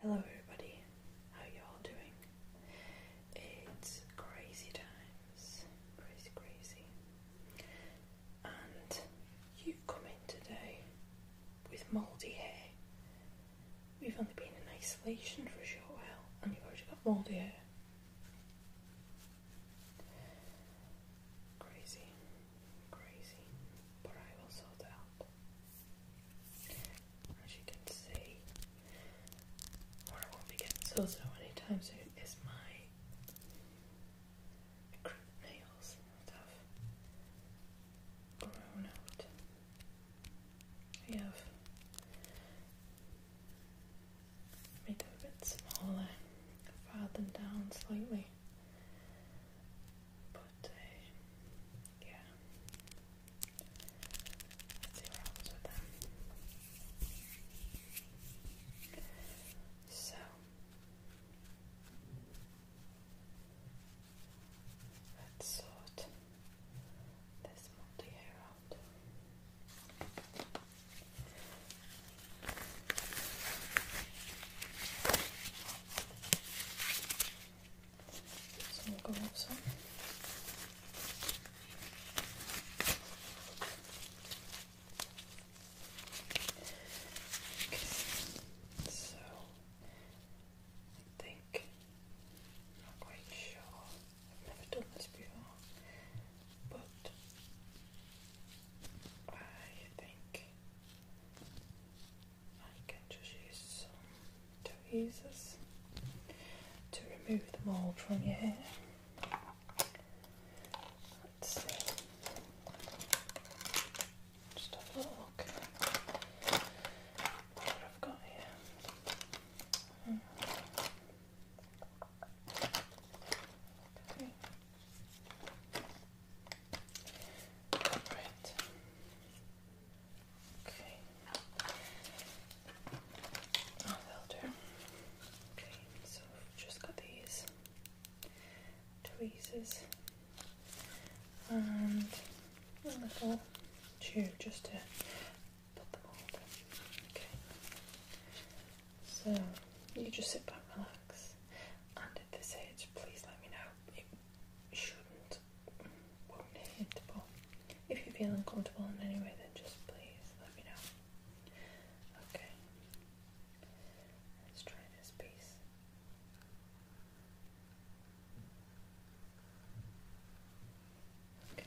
Hello everybody, how you all doing? It's crazy times, crazy crazy. And you've come in today with mouldy hair. We've only been in isolation for a short while and you've already got mouldy hair. Crazy, crazy, but I will sort it out. As you can see, what I won't be getting so so anytime soon is my crimp nails that grown out. We have made them a bit smaller, filed them down slightly. But, uh, yeah. Let's see what happens with them. So. Let's sort this multi out. So we'll go with some. I think not quite sure. never done this before, but I think I can just use tweezers to remove the mould from your hair. Let's see. Just a look at what i got here. Hmm. Okay. Right. Okay. Oh, ah, that Okay, so just got these tweezers and a little tube just to put them all Okay. So you just sit back, relax relax. this age, please let me know. It shouldn't, won't hit, but if you feel uncomfortable in any way, then just please let me know. Okay. Let's try this piece. Okay.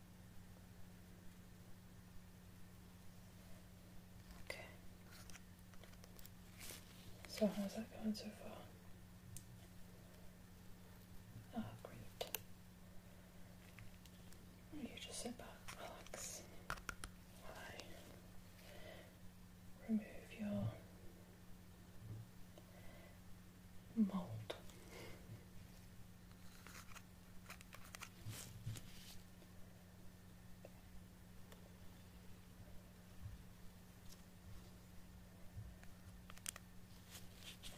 Okay. So how's that going so far? Oh, great. You just sit back, relax, while remove your I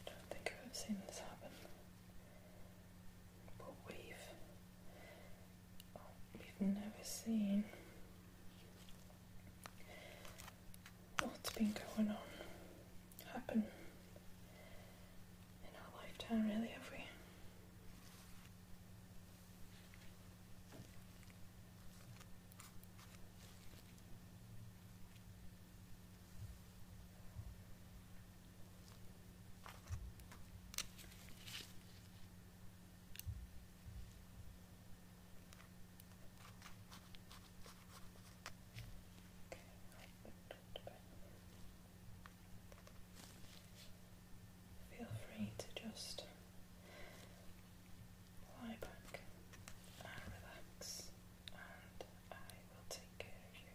don't think I've seen this happen. But we've we've never seen what's been going on happen in our lifetime, really, have we? Feel free to just lie back and relax, and I will take care of you.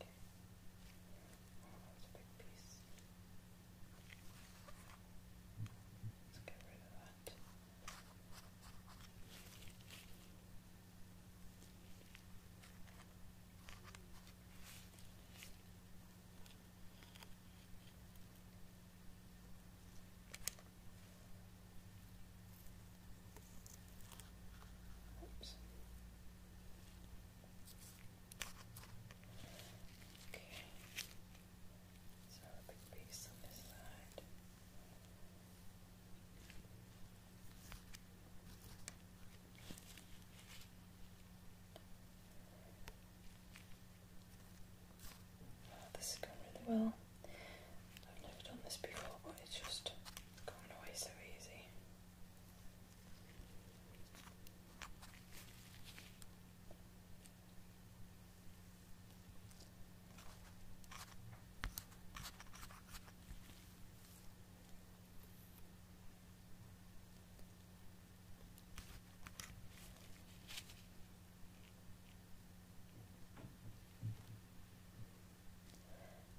Okay. Oh, that's a big piece. Let's get rid of that. Okay. So a big piece on this side. this is going really well. I've never done this before, but it's just Going away so easy.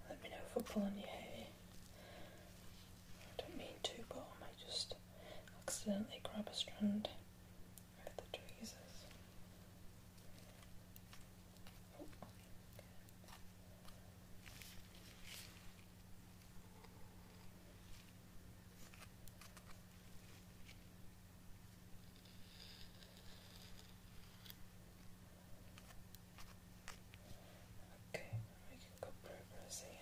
Let me know if I'm pulling you here. I don't mean to, but I just accidentally grab a strand of the tweezers. Oh. Okay, I'm making good here. Okay.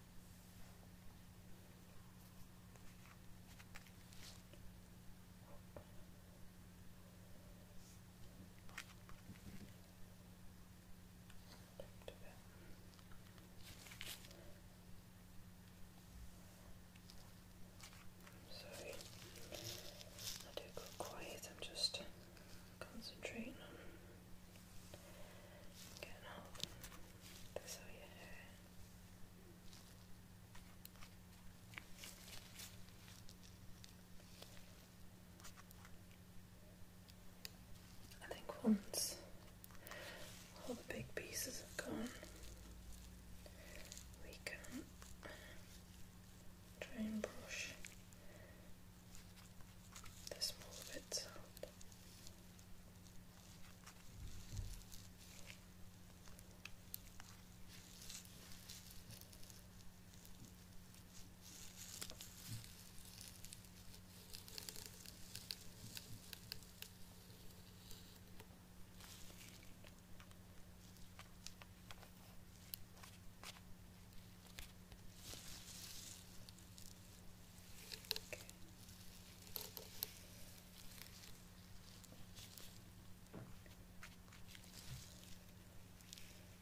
Back to sorry, I do go quiet, I'm just concentrating on getting out. I think once all the big pieces have gone, we can try and brush this small of it Okay.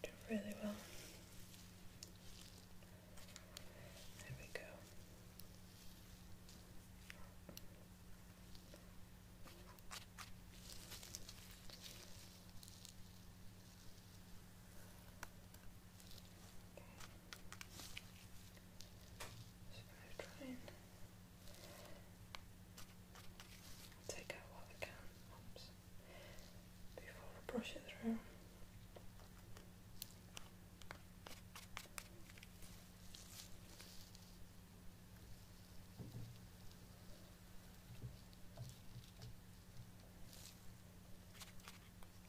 Do really well. There we go. So try take out what I can before I through.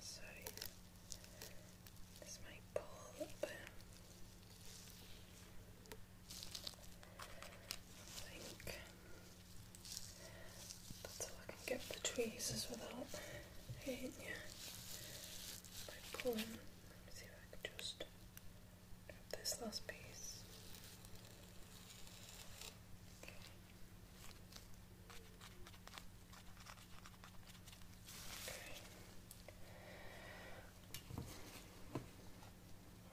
Sorry, this might pull, but I think. That's all I can get the tweezers without hitting you. pulling. Let me see if I can just grab this last piece. Okay.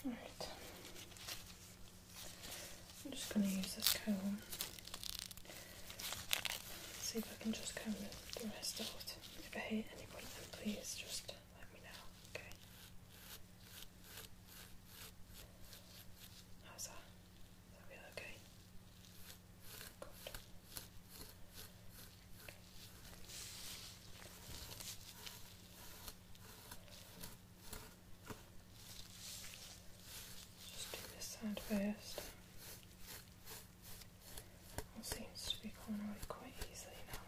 Okay. I'm just going to use this comb. See if I can just comb the rest out. If I hit any of them, please just let me know. Okay. How's that? Okay. Just do this side first. seems to be coming out quite easily now.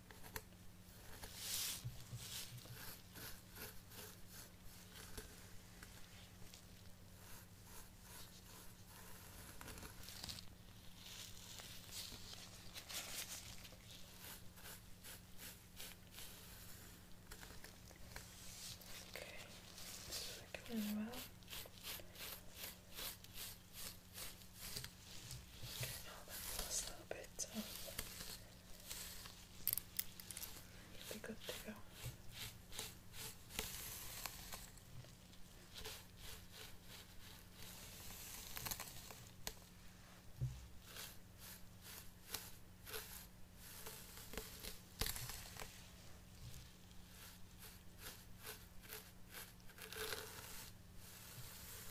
Okay, this is working really well. Now that was a little bit of you'll be good to go. Okay.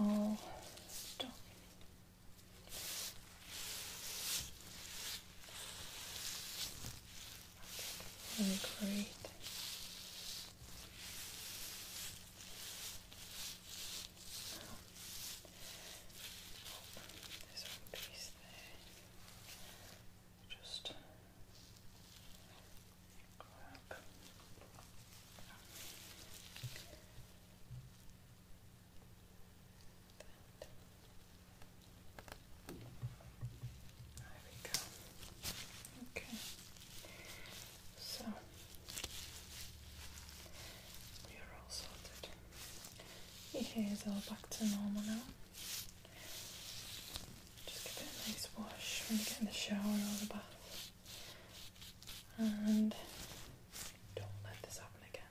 Oh, great. Now, there's one piece there just grab that. There we go. Okay. So we are all sorted. Your hair is all back to normal now. Just give it a nice wash when you get in the shower or the bath. And don't let this happen again.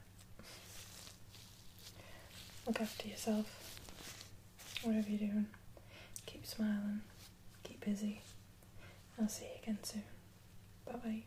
Look after yourself. Whatever you're doing, keep smiling, keep busy. I'll see you again soon. Bye bye.